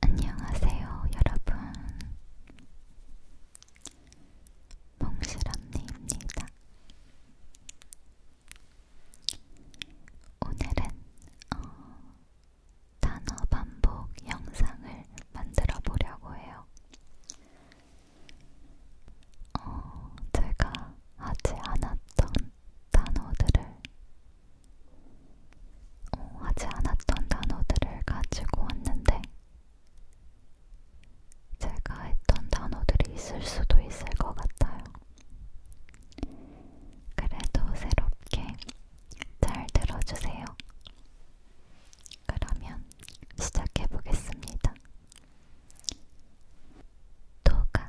안녕하세요, 여러분. 몽실 언니입니다. 오늘은 어, 단어 반복 영상을 만들어 보려고 해요. 어, 제가 하지 않았던 단어들을 어, 하지 않았던 단어들을 가지고 왔는데 제가 했던 단어들이 있을 수도 있을 것 같아요. 그래도 새롭게 잘 들어주세요. 그러면 시작해 보겠습니다. 도가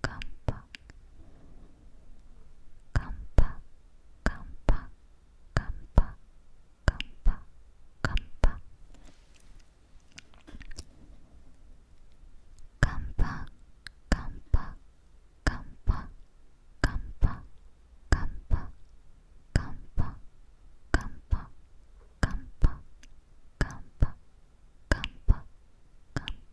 깜빡 깜빡 깜빡 깜빡 깜빡 깜빡 깜빡 깜빡 깜빡 깜빡 깜빡 깜빡 깜빡 깜빡 깜빡 깜빡 깜빡 깜빡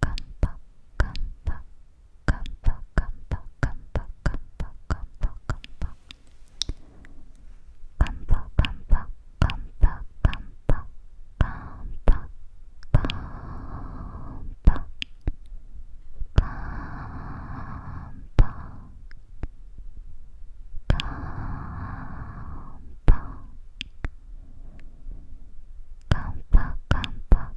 깜빡 깜빡 깜빡 깜빡 깜빡 깜빡 깜빡 깜빡 깜빡 깜빡 깜빡 깜빡 깜빡 깜빡 깜빡 깜빡 깜빡 깜빡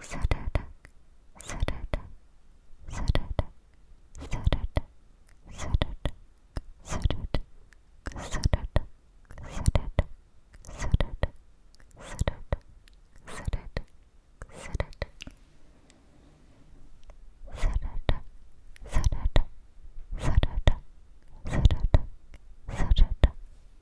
Saturday, Saturday, Saturday, Saturday, Saturday, Saturday, Saturday, Saturday, Saturday, Saturday, Saturday, Saturday, Saturday, Saturday, Saturday, Saturday, Saturday, Saturday,